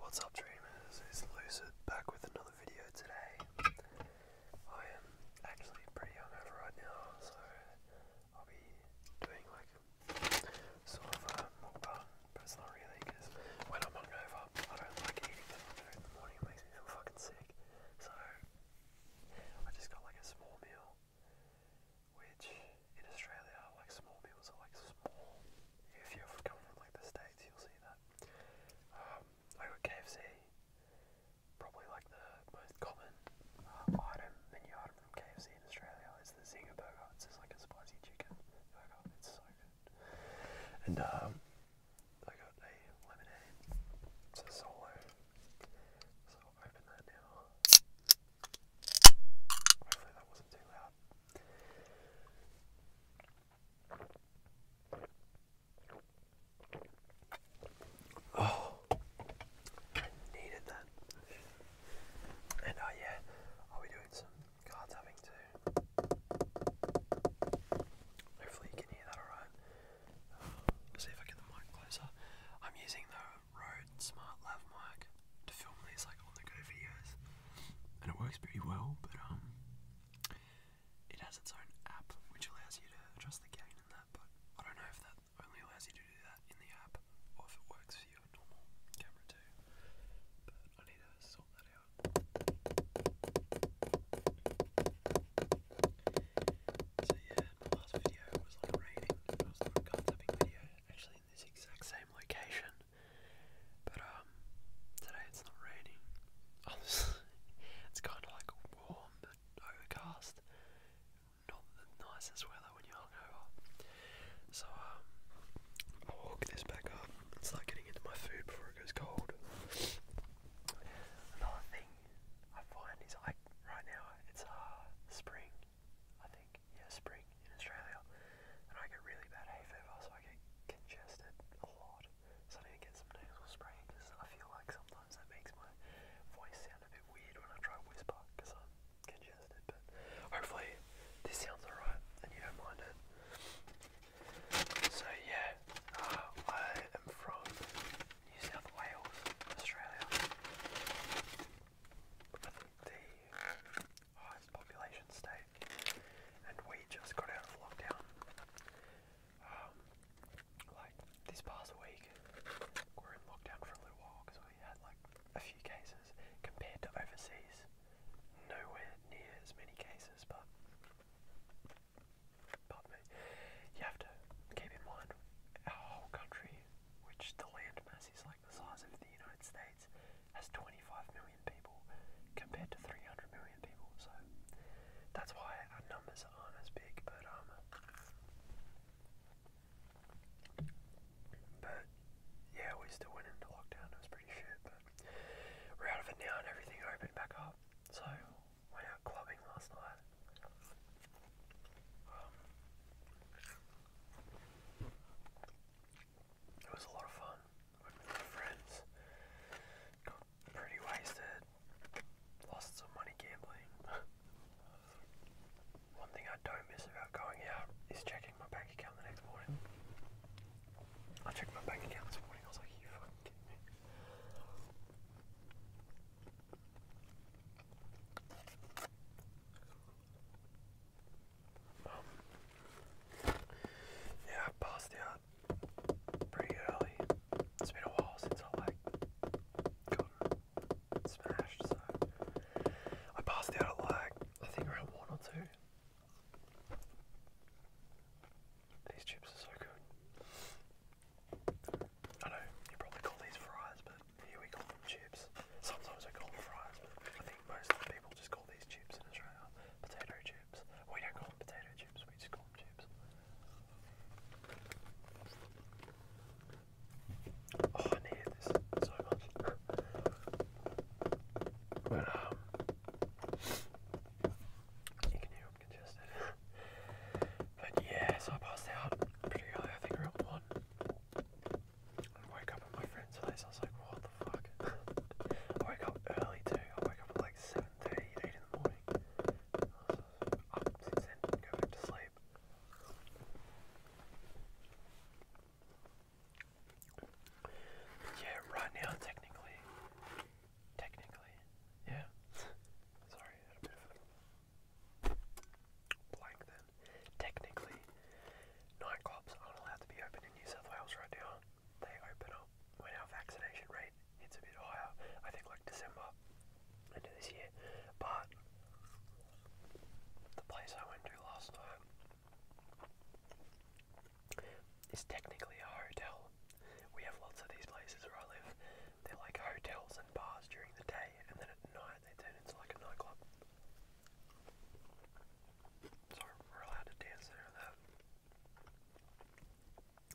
What's up dreamers, it's Lucid back with another video today. I am actually pretty hungover right now, so I'll be doing like sort of a uh, mukbang, but it's not really because when I'm hungover, I don't like eating that in the morning, it makes me feel fucking sick. So I just got like a small meal, which in Australia, like small meals are like small. If you ever come from like the States, you'll see that. Um, I got KFC, probably like the most common uh, item, menu item from KFC in Australia is the Zinger burger. It's just like a spicy chicken burger. It's so good. And um, I got a lemonade. It's a solo. So I'll open that now. Hopefully that wasn't too loud. Oh, needed that. And oh, yeah, I'll doing some card tapping too. Hopefully, you can hear that alright. Uh, see if I get the mic closer. I'm using the Rode Smart Lav mic to film these like on the go videos, and it works pretty well. But um, it has its own app which allows you to adjust the gain and that. But I don't know if that only allows you to do that in the app or if it works for your normal camera too. But I need to sort that out. So yeah, my last video was like a rating, it was like a card tapping video. Actually, this exact same location, but um, today it's not raining. it's kind of like warm but overcast. Not the nicest weather when you're hungover. So I'll um, hook this back up and start getting into my food before it goes cold. Another thing I find is I right now it's uh, spring I think, yeah, spring in Australia, and I get really bad hay fever, so I get congested a lot. So I need to get some nasal spray because I feel like sometimes that makes my voice sound a bit weird when I try to whisper because I'm congested. But hopefully this sounds alright and you don't mind it. So yeah, uh, I am from New South Wales, Australia, the highest population state, and we just got out of lockdown. Um, like this past week, we were in lockdown for a little while because we had like a few cases compared to overseas. Nowhere near as many cases, but but me, you have to keep in mind our whole country which the land mass is like the size of the United States, has 25 million people compared to 300 million people. So that's why our numbers aren't as big, but um, but yeah, we still went into lockdown. It was pretty shit, but we're out of it now, and everything opened back up. So went out clubbing last night. Um, it was a lot of fun with friends. pretty wasted. Lost some money gambling. One thing I don't miss about going out is checking my bank account the next morning. I checked my bank account this morning, I was like, you fucking kidding me yeah, passed out pretty early. It's been a while since I like got smashed, so I passed out at like I think around one or two. These chips are so good. I know you probably call these fries, but here we call them chips. Sometimes we call them fries, I think most people just call these chips in Australia potato chips. We don't call them potato chips, we just call them chips. Oh, I needed this so much. But, um, you can hear i congested. but yeah, so I passed out pretty early, I think around 1. I woke up at my friend's house, I was like, what the fuck? wake up early too, I wake up at like 7.30, 8 in the morning. go back to sleep. Yeah, right now, technically, technically, yeah. Sorry, blank then. Technically, nightclubs aren't allowed to be open in New South Wales right now. They open up when our vaccination rate hits a bit higher. I think like December into this year. But the place I went to last night is technically a hotel. We have lots of these places where I live. They're like hotels and bars during the day, and then at night night they turn into like a nightclub. So we're allowed to dance there and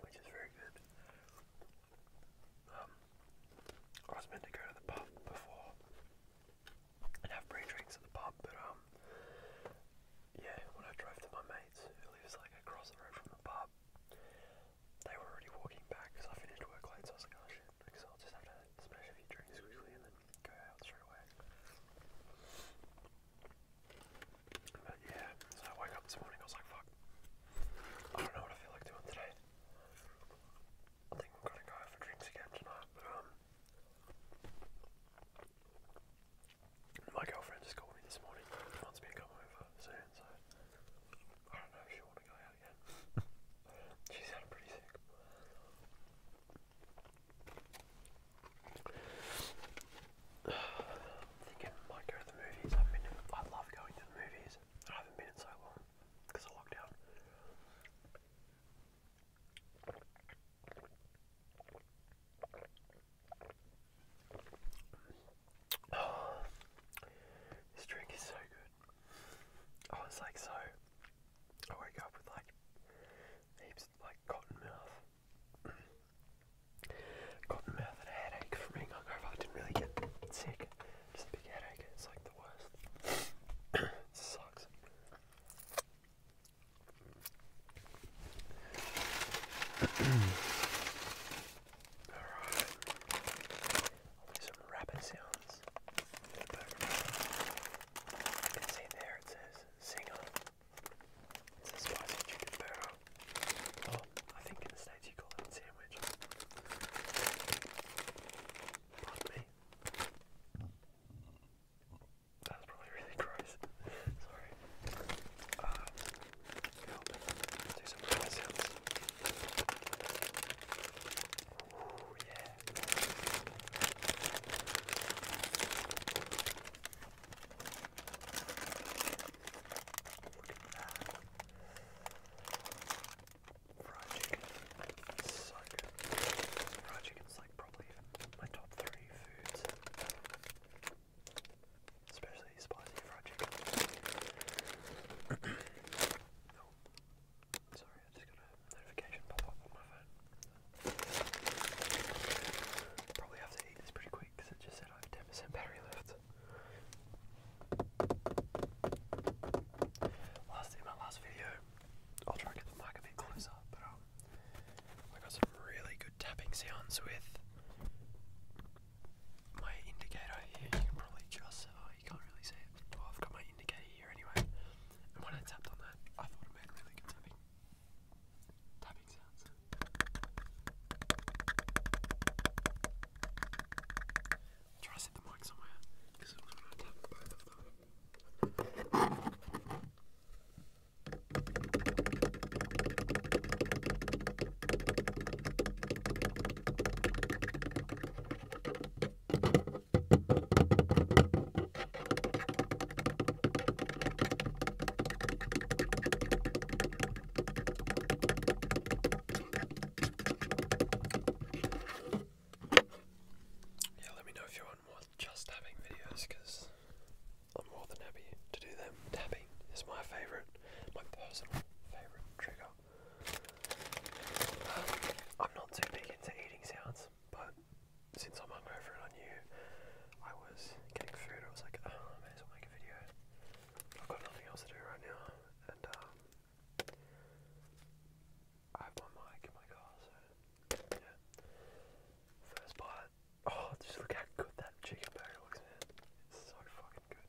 Which is very good. Um, I was meant to go to the pub before and have pre-drinks at the pub, but um, yeah, when I drove to my mate's, who lives like across the road from the pub, they were already walking back because I finished work late, so I was like, oh shit, because I'll just have to smash a few drinks quickly and then go out straight away. But yeah, so I woke up this morning, I was like, fuck, I don't know what I feel like doing today. I think I'm gonna go for drinks again tonight, but um, my girlfriend just called me this morning, wants me to come over soon, so I don't know if she want to go out yet. she sounded pretty sick. I'm thinking I might go to the movies. I've been. I love going to the movies. I haven't been in so long because of lockdown. this drink is so good dude. I was like so. I woke up with like heaps like cotton mouth. cotton mouth and a headache from being hungover. I didn't really get sick. Just a big headache. It's like the worst. sucks. Alright. I'll do sounds can see there it says Singer. It's a spicy chicken burger. Oh, I think in the States you call it a sandwich. Pardon me. That probably really gross. Sorry. Uh, help do some noise that. Fried chicken. so good. Fried chicken's like probably my top three foods especially spicy fried chicken. Oh, sorry, I just got a notification pop up on my phone. Probably have to eat this pretty quick because it just said I have ten percent battery left. Last in my last video, I'll try and get the mic a bit closer, but um, I've got some really good tapping sounds with my indicator here, you can probably just, oh, you can't really see it. Well, I've got my indicator here anyway. And when I tapped on that, I thought it made really good tapping, tapping sounds. try to set the mic somewhere, because it was when I tapped both of them. Yeah, let me know if you want more just tapping videos because I'm more than happy to do them. Tapping is my favourite my personal favourite trigger. Um, I'm not too big into eating sounds, but since I'm hungover and I knew I was getting food, I was like, oh, I may as well make a video. I've got nothing else to do right now, and um, I have my mic in my car, so yeah. First bite. Oh, just look how good that chicken burger looks, man. It's so fucking good.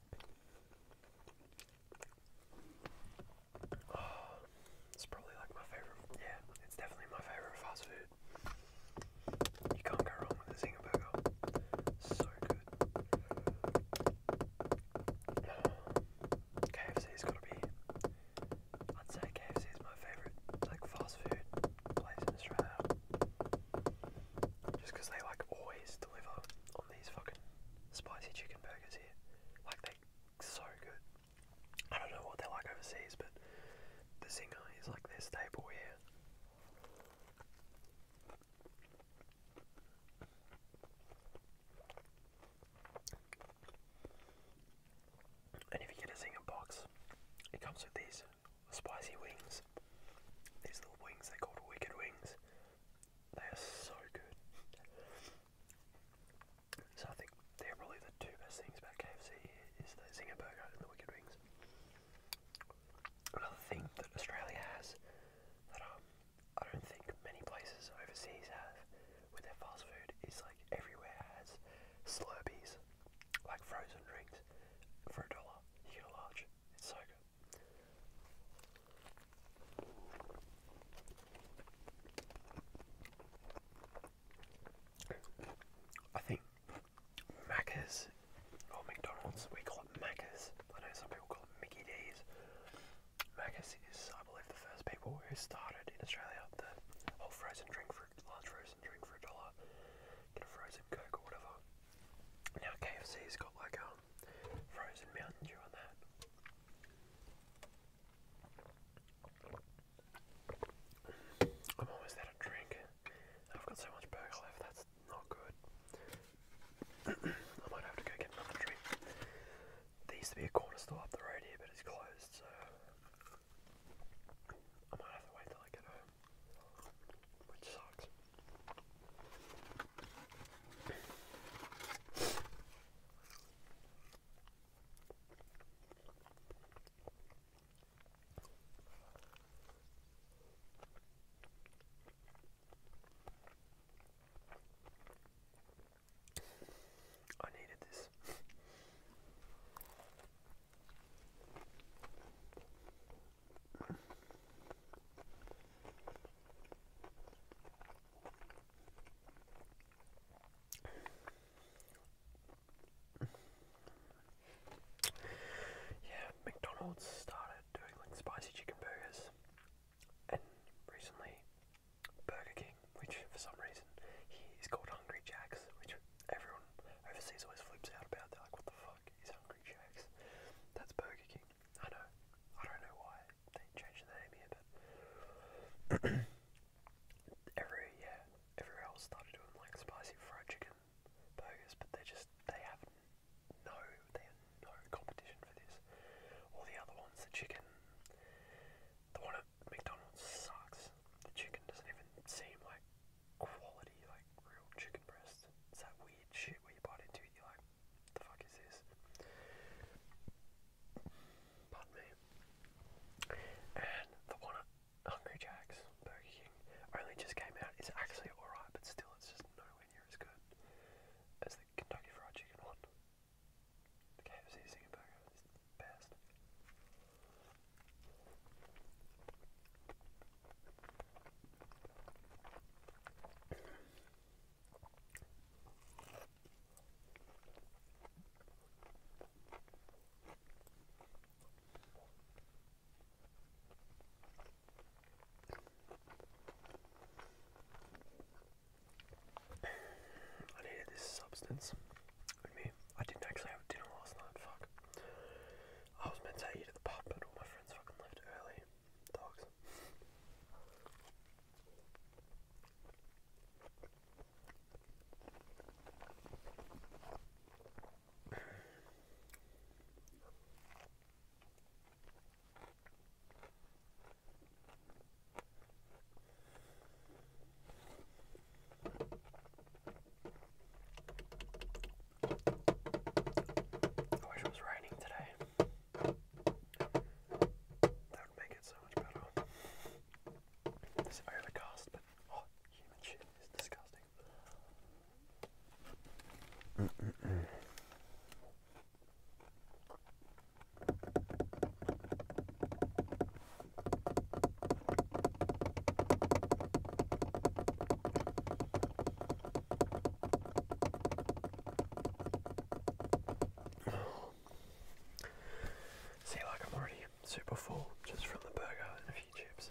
it's probably like my favorite. Yeah, it's definitely my favorite fast food. You can't go wrong with a Zinger burger. So good. KFC's got to be. I'd say KFC is my favorite, like fast food place in Australia, just because they like always just on these fucking spicy chicken burgers here. Like they're so good. I don't know what they're like overseas, but the singer is like their staple here. And if you get a zinger box, it comes with these spicy wings. These little wings, they're called Wicked Wings. They are so good. So I think they're probably the two best things about KFC is the Zinger Burger and the Wicked Wings. Another thing that Australia has that um, I don't think many places overseas have with their fast food is like everywhere has Slurpees, like frozen drinks, for a dollar. You large. It's so good. I think Macca's or McDonald's, we call it Macca's. I know some people call it Mickey D's. Macca's is, I believe, the first people who started in Australia the whole frozen drink for large frozen drink for a dollar, get a frozen Coke or whatever. Now KFC's got like um frozen Mountain Dew on that. I'm almost out of drink. I've got so much burger left, that's not good. I might have to go get another drink. There used to be a corner store up the road here, but it's closed, so I might have to wait till I get home. Which sucks. I needed this. Yeah, McDonald's started doing like spicy chicken burgers, and recently Burger King, which for some reason he's called Hungry Jacks, which everyone overseas always flips out about. They're like, "What the fuck? fuck Hungry Jack's? That's Burger King. I know. I don't know why they changed the name here, but every yeah, everywhere else started doing like spicy fried chicken burgers, but they just they have no they have no competition for this. All the other ones, the chicken, the one at McDonald's sucks. The chicken doesn't even seem like quality, like real chicken breast. It's that weird shit where you bite into it, you're like, the fuck is this? Pardon me. And the one at Hungry Jack's, Burger King, only just came out. It's actually alright, but still, it's just nowhere near as good as the Kentucky Fried Chicken one. KFC Zinger Burger best. I needed this substance I didn't actually have dinner last night, fuck. I was meant to eat at the pub, but all my friends fucking left early. Dogs. I wish it was raining today. That would make it so much better. It's overcast, but oh, human shit is disgusting. See, like I'm already super full just from the burger and a few chips.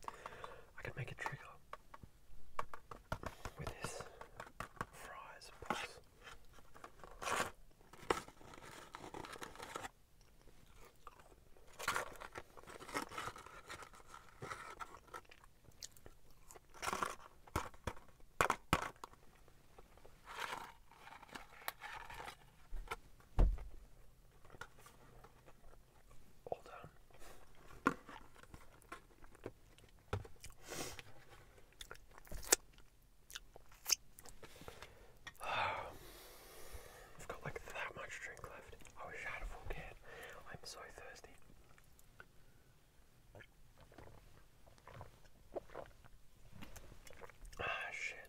I could make a trigger with this fries box. Hold on. I've got like that much drink left. I wish oh, I had a full I'm so thirsty. Ah, shit.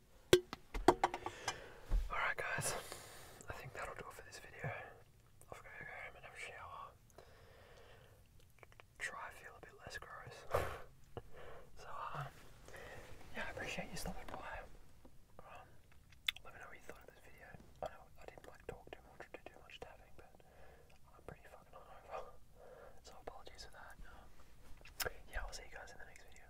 Alright guys, I think that'll do it for this video. I've got to go home and have a shower. Try to feel a bit less gross. so, um, yeah, I appreciate you stopping by. Um, let me know what you thought of this video. I know I didn't like talk too much or do too much tapping, but I'm pretty fucking hungover. So apologies for that. Um, yeah, I'll see you guys in the next video.